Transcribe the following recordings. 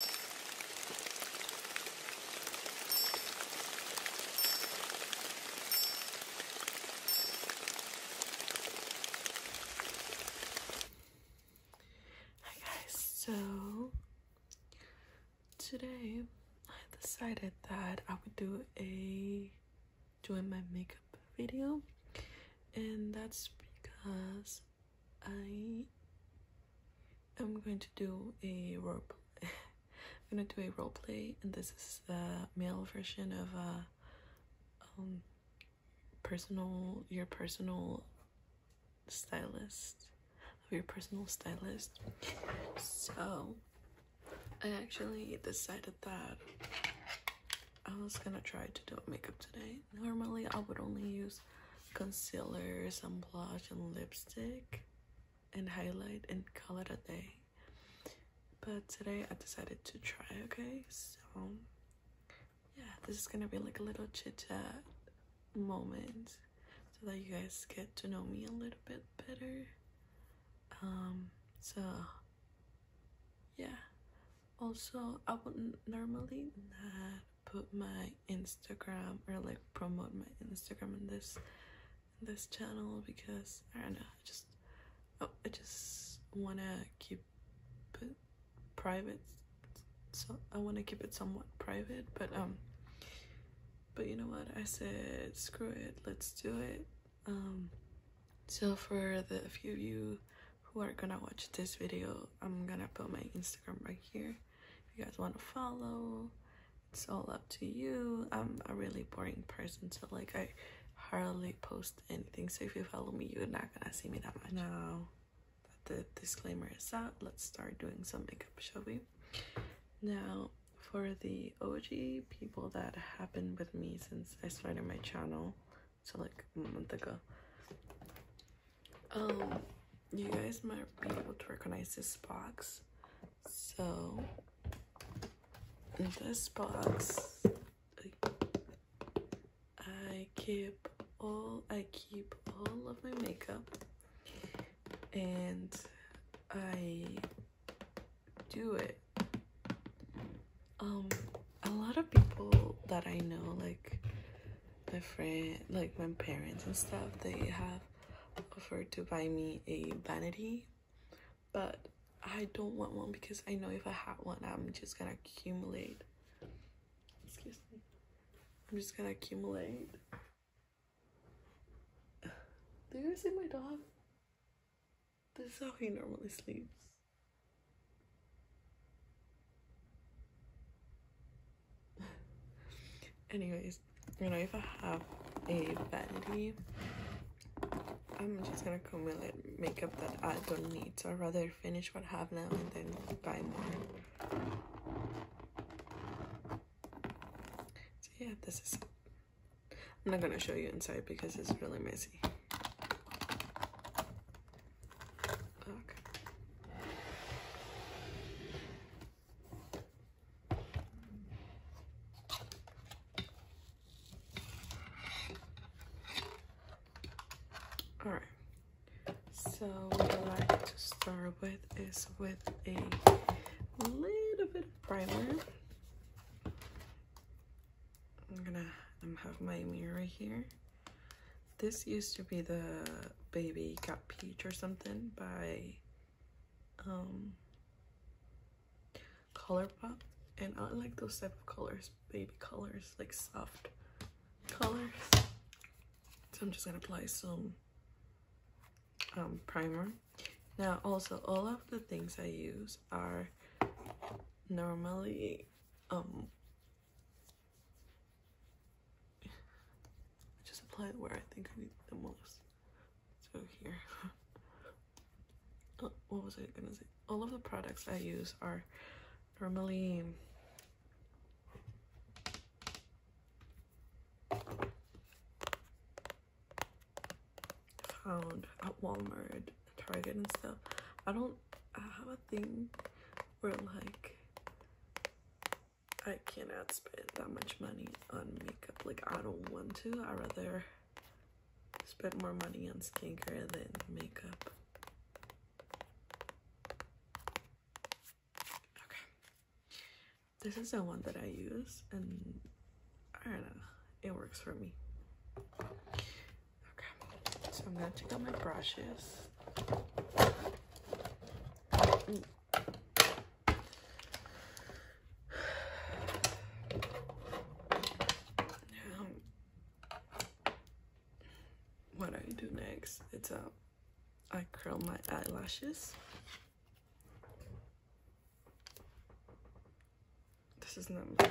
Hi guys, so today I decided that I would do a doing my makeup video and that's because I am going to do a role play. I'm gonna do a role play, and this is the male version of a uh, um, personal your personal stylist of your personal stylist. So I actually decided that I was gonna try to do makeup today. Normally, I would only use concealer, some blush and lipstick and highlight and color it a day. But today I decided to try, okay? So yeah, this is gonna be like a little chit chat moment so that you guys get to know me a little bit better. Um, so yeah. Also, I would not normally put my Instagram or like promote my Instagram in this this channel because I don't know, I just oh, I just wanna keep it private. So I wanna keep it somewhat private, but um but you know what I said screw it, let's do it. Um so for the few of you who are gonna watch this video, I'm gonna put my Instagram right here. If you guys want to follow, it's all up to you. I'm a really boring person, so like I hardly post anything. So if you follow me, you're not gonna see me that much. Now the disclaimer is out, let's start doing some makeup, shall we? Now for the OG people that have been with me since I started my channel, so like a month ago, um, you guys might be able to recognize this box. So, this box, I keep all I keep all of my makeup, and I do it. Um, a lot of people that I know, like my friend, like my parents and stuff, they have offered to buy me a vanity, but I don't want one because I know if I had one, I'm just gonna accumulate. Excuse me. I'm just gonna accumulate. Do you see my dog? This is how he normally sleeps. Anyways, you know, if I have a vanity, I'm just gonna comb in makeup that I don't need. So I'd rather finish what I have now and then buy more. So yeah, this is I'm not gonna show you inside because it's really messy. Okay. All right, so what I like to start with is with a little bit of primer. I'm gonna have my mirror here. This used to be the Baby Got Peach or something by um, Colourpop. And I like those type of colors, baby colors, like soft colors. So I'm just gonna apply some um, primer. Now also all of the things I use are normally um, just apply it where I think I need the most. So here. Oh, what was I gonna say? All of the products I use are from normally found at Walmart, Target and stuff. I don't have a thing where like I cannot spend that much money on makeup. Like, I don't want to. i rather spend more money on skincare than makeup. Okay. This is the one that I use, and I don't know. It works for me. Okay. So I'm going to take out my brushes what do I do next It's um, I curl my eyelashes. This is not my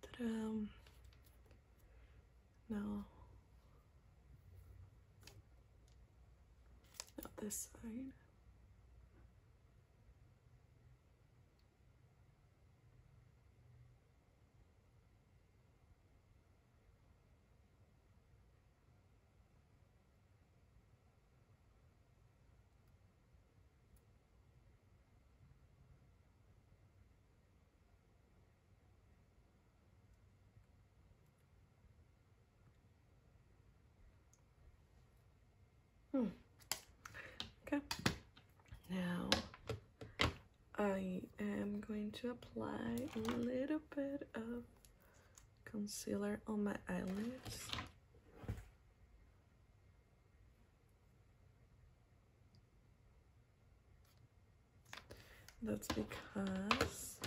Ta-da! Now, now this side. Hmm. Okay. Now I am going to apply a little bit of concealer on my eyelids. That's because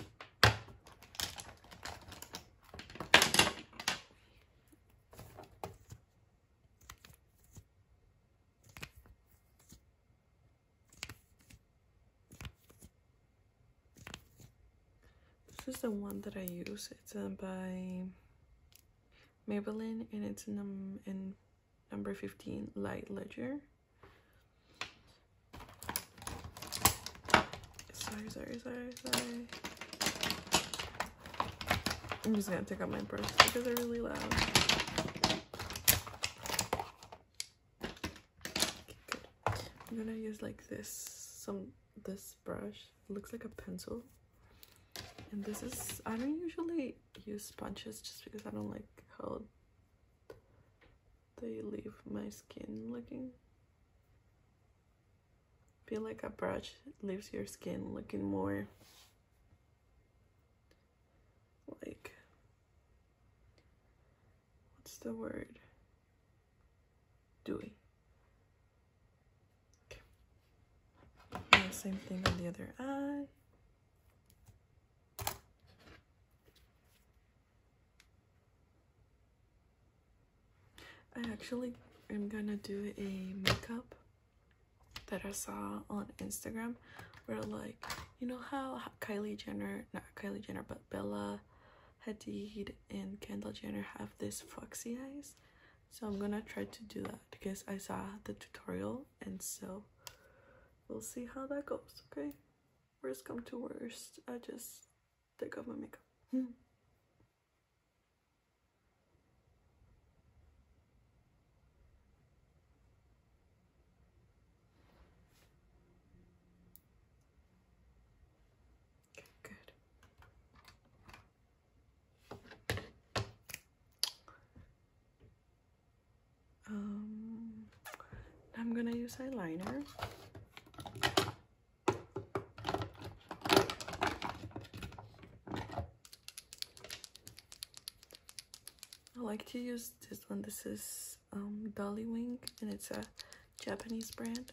this is the one that I use. It's uh, by Maybelline and it's num in number 15 Light Ledger. Sorry, sorry, sorry, sorry. I'm just gonna take out my purse because they're really loud. I'm gonna use like this, some this brush looks like a pencil and this is i don't usually use sponges just because i don't like how they leave my skin looking feel like a brush leaves your skin looking more like what's the word do we? same thing on the other eye. I actually am gonna do a makeup that I saw on Instagram where like, you know how Kylie Jenner, not Kylie Jenner, but Bella Hadid and Kendall Jenner have this foxy eyes. So I'm gonna try to do that because I saw the tutorial and so we'll see how that goes, okay? Worst come to worst, I just take off my makeup. Hmm. Good. Um, I'm gonna use eyeliner. I like to use this one. This is um, Dolly Wing and it's a Japanese brand.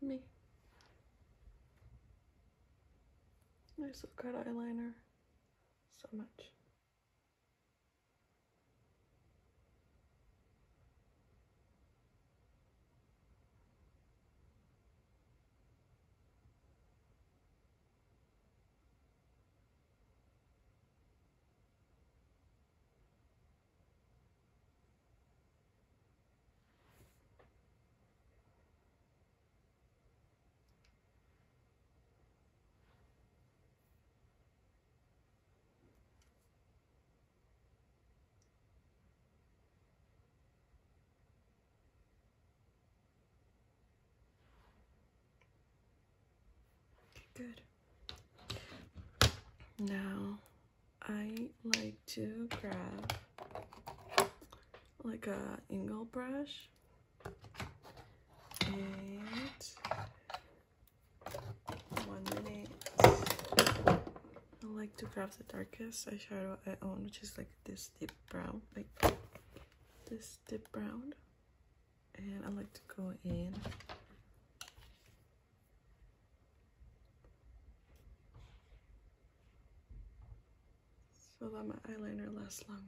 Me. Nice little got eyeliner so much. Good. Now I like to grab like a angle brush and one minute I like to grab the darkest eyeshadow I own which is like this deep brown like this deep brown and I like to go in so that my eyeliner lasts longer.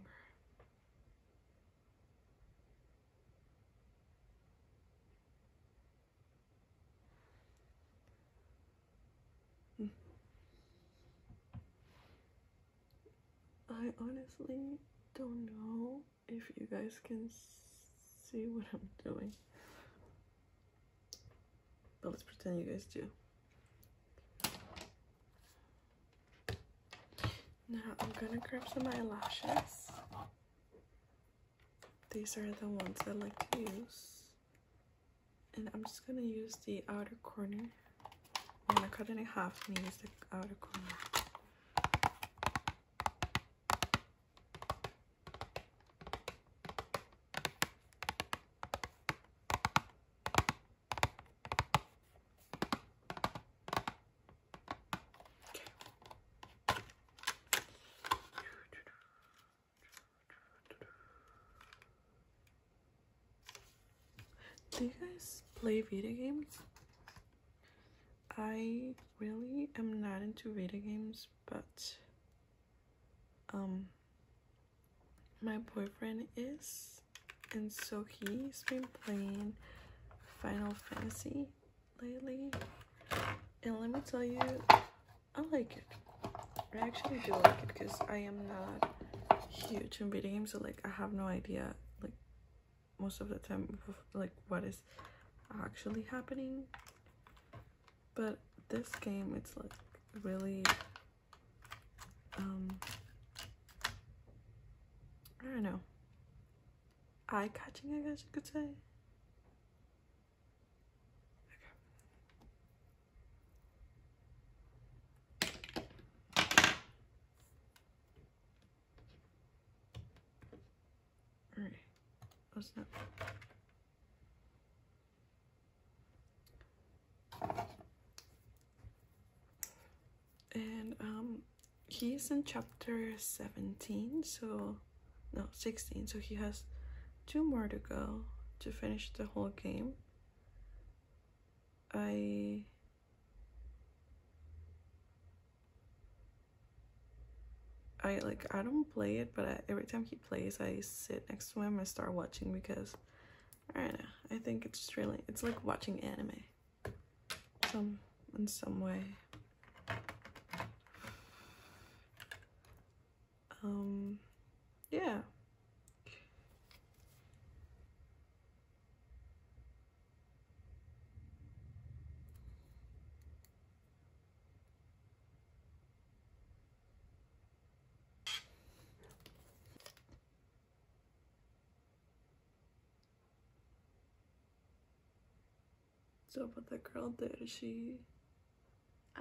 Hmm. I honestly don't know if you guys can see what I'm doing. But let's pretend you guys do. Now I'm gonna grab some eyelashes. These are the ones I like to use. And I'm just gonna use the outer corner. I'm gonna cut it in half and use the outer corner. Do you guys play video games? I really am not into video games, but um, my boyfriend is, and so he's been playing Final Fantasy lately. And let me tell you, I like it. I actually do like it because I am not huge in video games, so like I have no idea like most of the time like what is actually happening. But this game, it's like really, um, I don't know, eye-catching, I guess you could say. All right. Oh snap. And um, he's in chapter 17, so no, 16. So he has two more to go to finish the whole game. I I like I don't play it, but every time he plays, I sit next to him I start watching because I don't know. I think it's just really it's like watching anime, some in some way. Um, yeah. So what the girl did she, ow.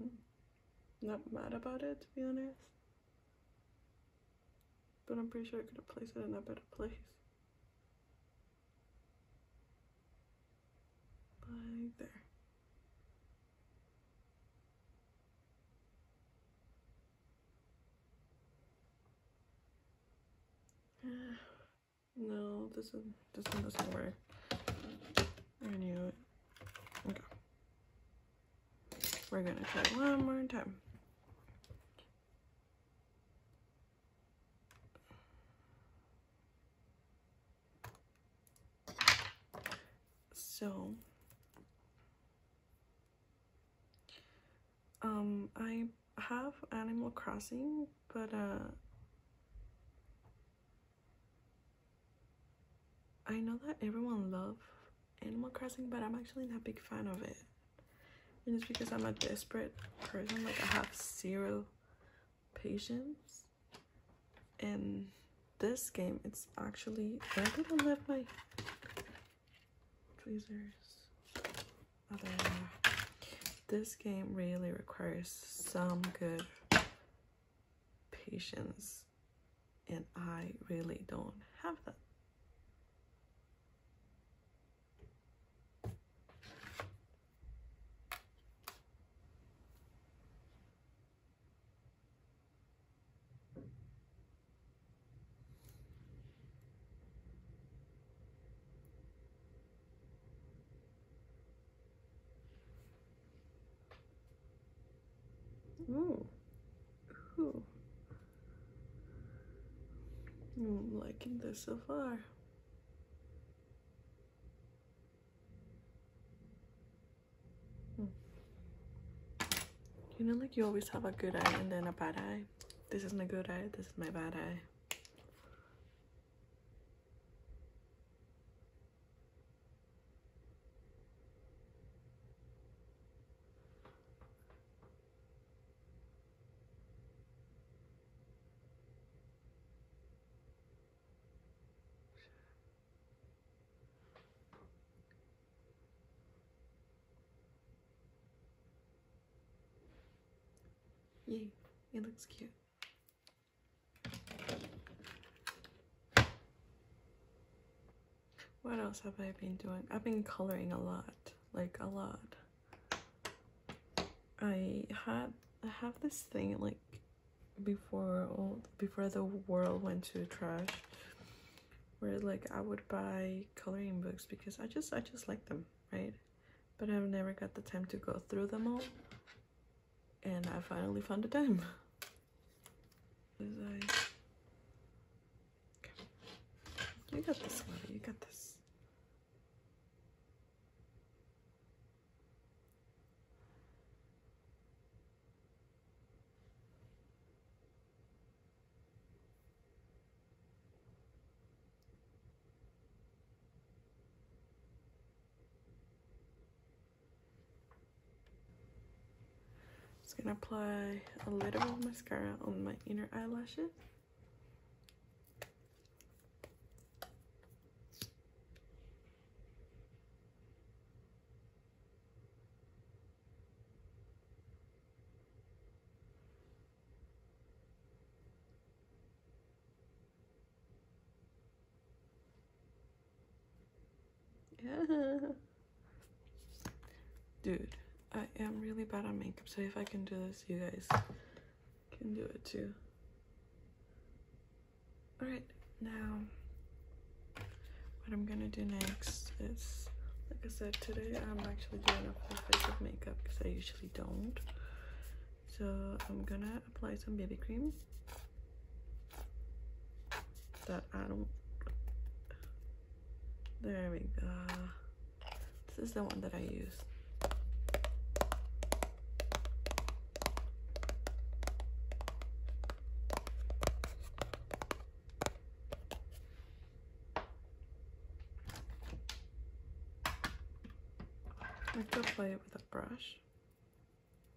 Hmm. Not mad about it, to be honest. But I'm pretty sure I could have placed it in a better place. Like there. no, this is this one doesn't work. I knew it. Okay. We're gonna try one more time. So, um, I have Animal Crossing, but uh, I know that everyone loves Animal Crossing, but I'm actually not a big fan of it. And it's because I'm a desperate person. Like, I have zero patience. In this game, it's actually... I think not left my tweezers. This game really requires some good patience and I really don't have that. Oh, cool. I'm liking this so far. Hmm. You know, like you always have a good eye and then a bad eye. This is my good eye, this is my bad eye. Yay, it looks cute. What else have I been doing? I've been coloring a lot, like a lot. I had I have this thing like before all before the world went to trash where like I would buy coloring books because I just I just like them, right? But I've never got the time to go through them all and I finally found a time. You got this, Lily. You got this. Just gonna apply a little bit of mascara on my inner eyelashes. Yeah. Dude, I am really bad on makeup, so if I can do this, you guys can do it too. Alright, now what I'm gonna do next is, like I said, today I'm actually doing a full face of makeup because I usually don't. So I'm gonna apply some baby cream that I don't there we go this is the one that I use I could play it with a brush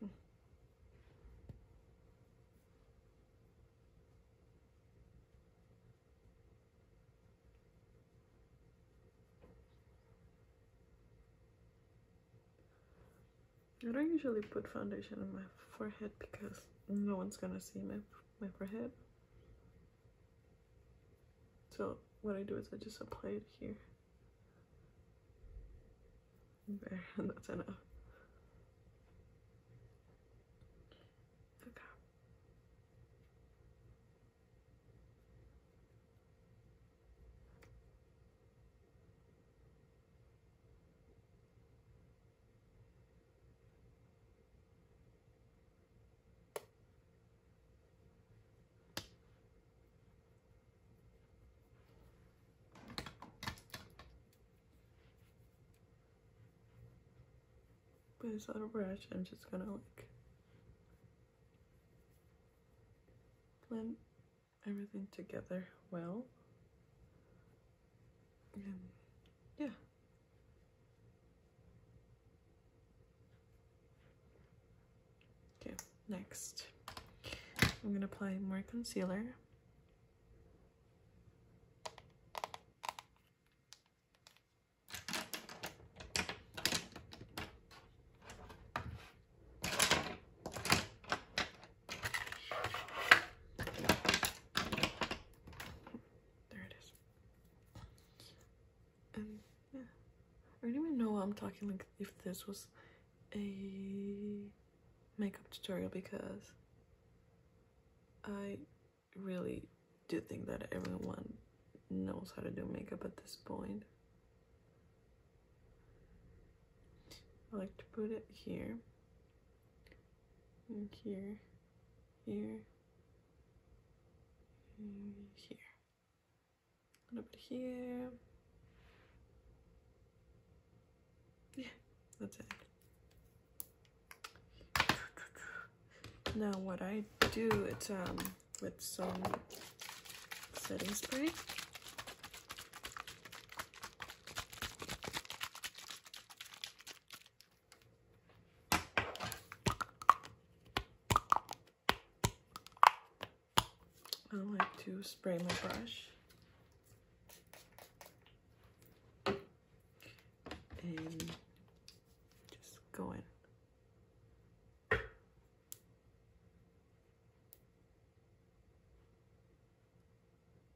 Hmm. I don't usually put foundation on my forehead because no one's gonna see my, my forehead. So what I do is I just apply it here. There, and that's enough. Okay. With this little brush, I'm just gonna like blend everything together well. And yeah. Okay, next I'm going to apply more concealer. There it is. And um, yeah. I don't even know why I'm talking like if this was a makeup tutorial because I really do think that everyone knows how to do makeup at this point. I like to put it here and here here, here. A little bit here. Yeah, that's it. Now what I do, it's um with some setting spray. I like to spray my brush and just go in.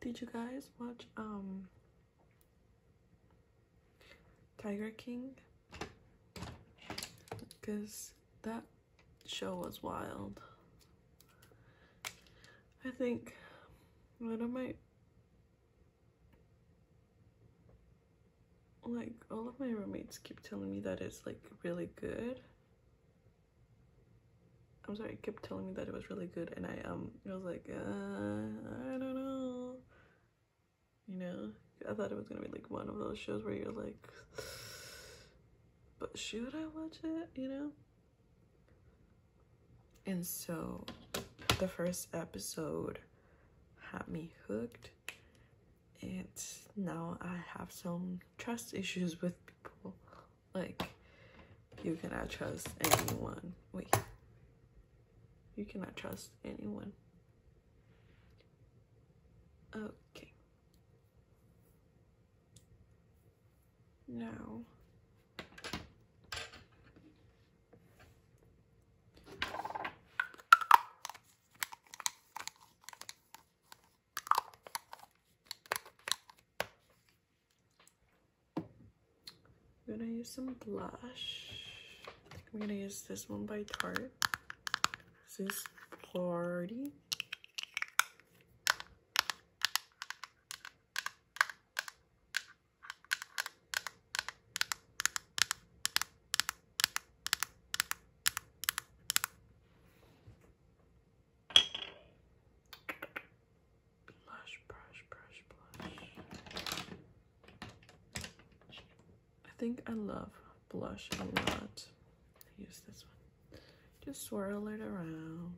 Did you guys watch um Tiger King? Because that show was wild. I think that of my like all of my roommates keep telling me that it's like really good. I'm sorry, kept telling me that it was really good and I um I was like, uh, I don't know. You know, I thought it was gonna be like one of those shows where you're like, but should I watch it? You know? And so the first episode had me hooked. And now I have some trust issues with people. Like, you cannot trust anyone. Wait. You cannot trust anyone. Okay now. I'm gonna use some blush. I am gonna use this one by Tarte. This is party. Blush, brush, brush, blush. I think I love blush a lot. use this just swirl it around.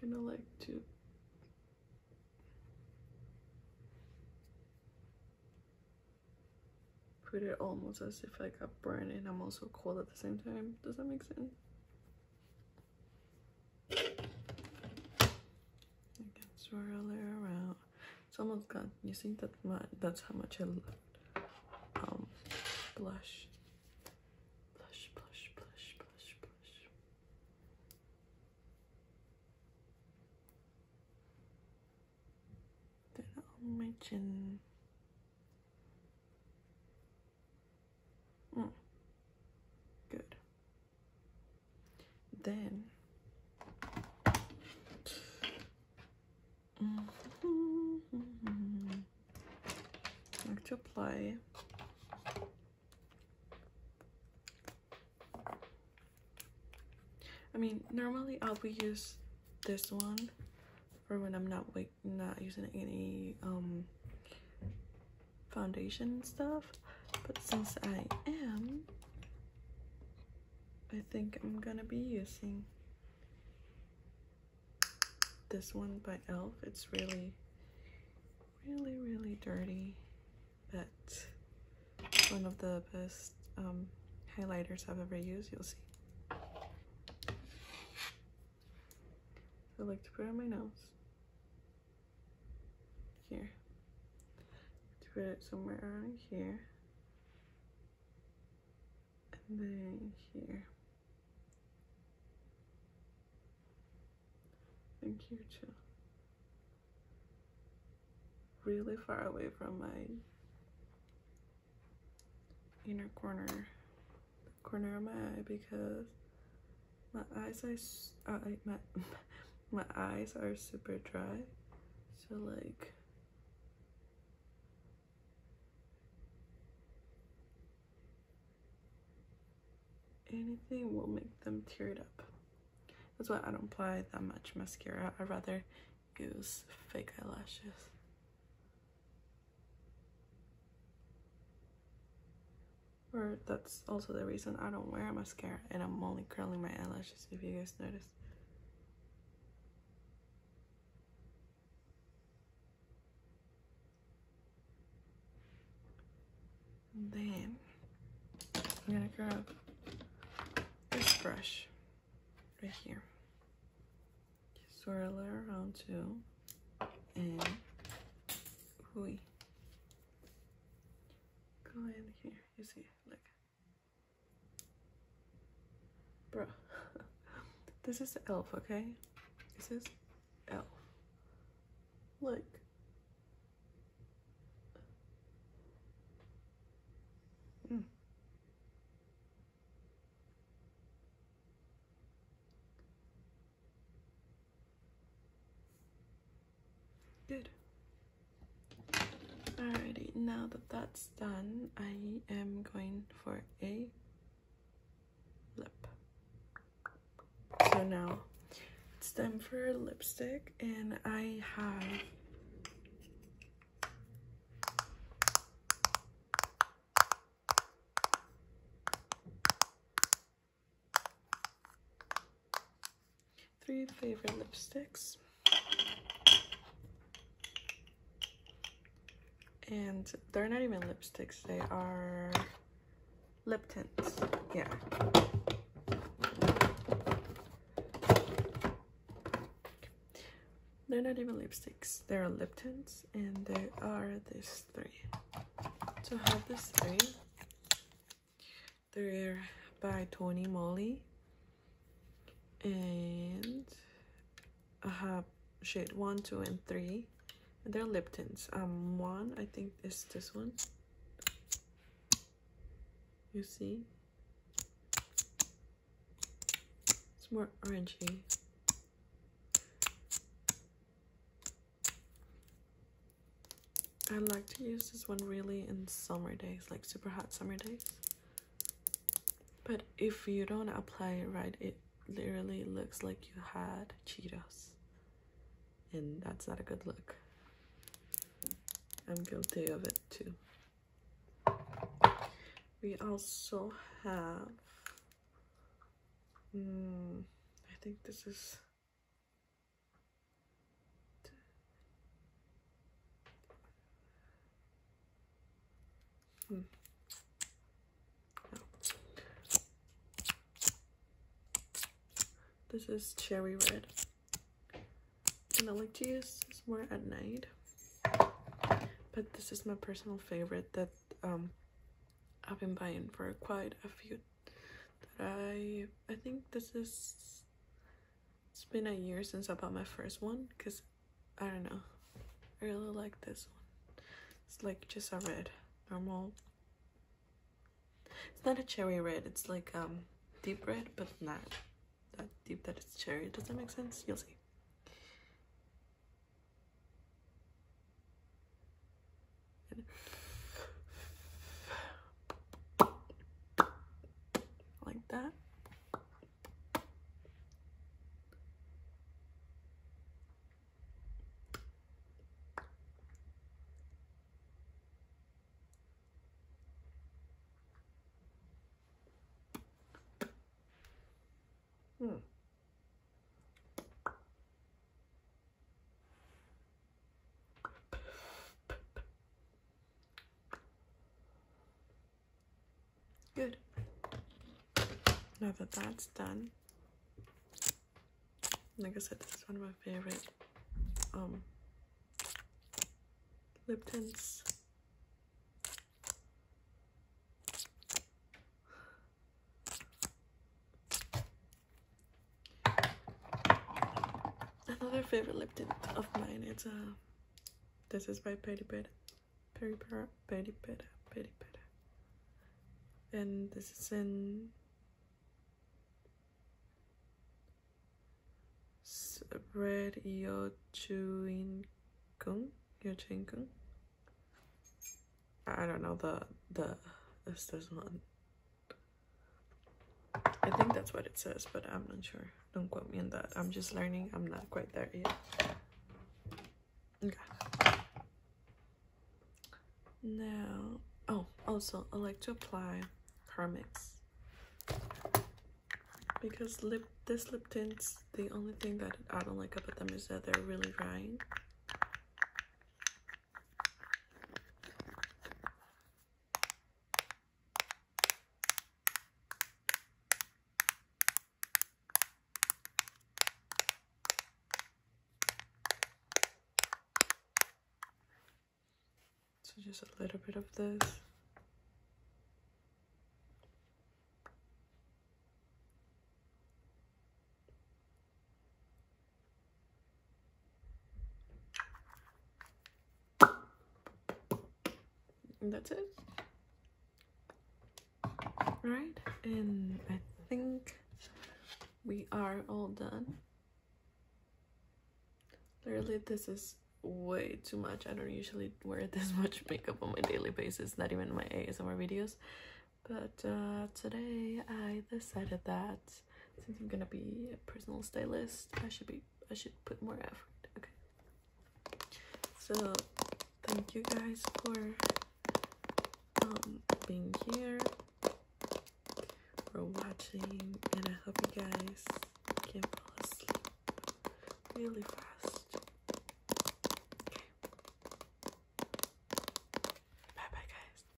Gonna like to put it almost as if I got burned and I'm also cold at the same time. Does that make sense? I can swirl it around. It's almost gone. You think that much? That's how much I left. Um, blush. Blush, blush, blush, blush, Then on my chin. Mm. Good. Then mm -hmm. like to apply I mean normally I'll be use this one for when I'm not like not using any um foundation stuff. But since I am, I think I'm gonna be using this one by e.l.f. It's really, really, really dirty, but one of the best um, highlighters I've ever used, you'll see. I like to put on my nose here to put it somewhere around here and then here thank you too really far away from my inner corner corner of my eye because my eyes are, uh, my, my eyes are super dry. So like, anything will make them tear it up. That's why I don't apply that much mascara. I rather use fake eyelashes or that's also the reason I don't wear mascara and I'm only curling my eyelashes if you guys notice. then I'm gonna grab this brush right here. swirl it around too and ooh, Go in here. You see, like, bro. this is elf, okay? This is elf. Look. Mm. Good. Alrighty, now that that's done, I am going for a lip. So now it's time for lipstick and I have Three favorite lipsticks. And they're not even lipsticks, they are lip tints. Yeah. They're not even lipsticks, they are lip tints, and they are these three. So I have this three, they're by Tony Moly. And I have shade 1, 2, and 3. they're lip tints. Um, one, I think, is this one. You see? It's more orangey. I like to use this one really in summer days, like super hot summer days. But if you don't apply it right, it literally looks like you had Cheetos. And that's not a good look. I'm guilty of it too. We also have, mm, I think this is this is cherry red. And I like to use this more at night. But this is my personal favorite that um, I've been buying for quite a few that I I think this is it's been a year since I bought my first one because I don't know I really like this one it's like just a red normal it's not a cherry red it's like um deep red but not that deep that it's cherry does that make sense you'll see like that. Hmm. Good. Now that that's done, like I said, this is one of my favorite um, lip tints. Another favorite lip tint of mine is uh, this is by Petty Pet, Petty Pet, Petty Pet, Petty Pet, and this is in Red Yo Chewing Kung, Yo Chewing Kung. I don't know the the this doesn't I think that's what it says, but I'm not sure. Don't quote me on that. I'm just learning. I'm not quite there yet. Okay. Now, oh, also, I like to apply Permix. Because lip, this lip tints, the only thing that I don't like about them is that they're really drying. So just a little bit of this. And that's it. Right, and I think we are all done. Literally, this is way too much. I don't usually wear this much makeup on my daily basis, not even my ASMR videos. But uh, today I decided that since I'm gonna be a personal stylist, I should be I should put more effort. Okay. So thank you guys for um, being here for watching and I hope you guys can fall asleep really fast. Okay. Bye bye guys.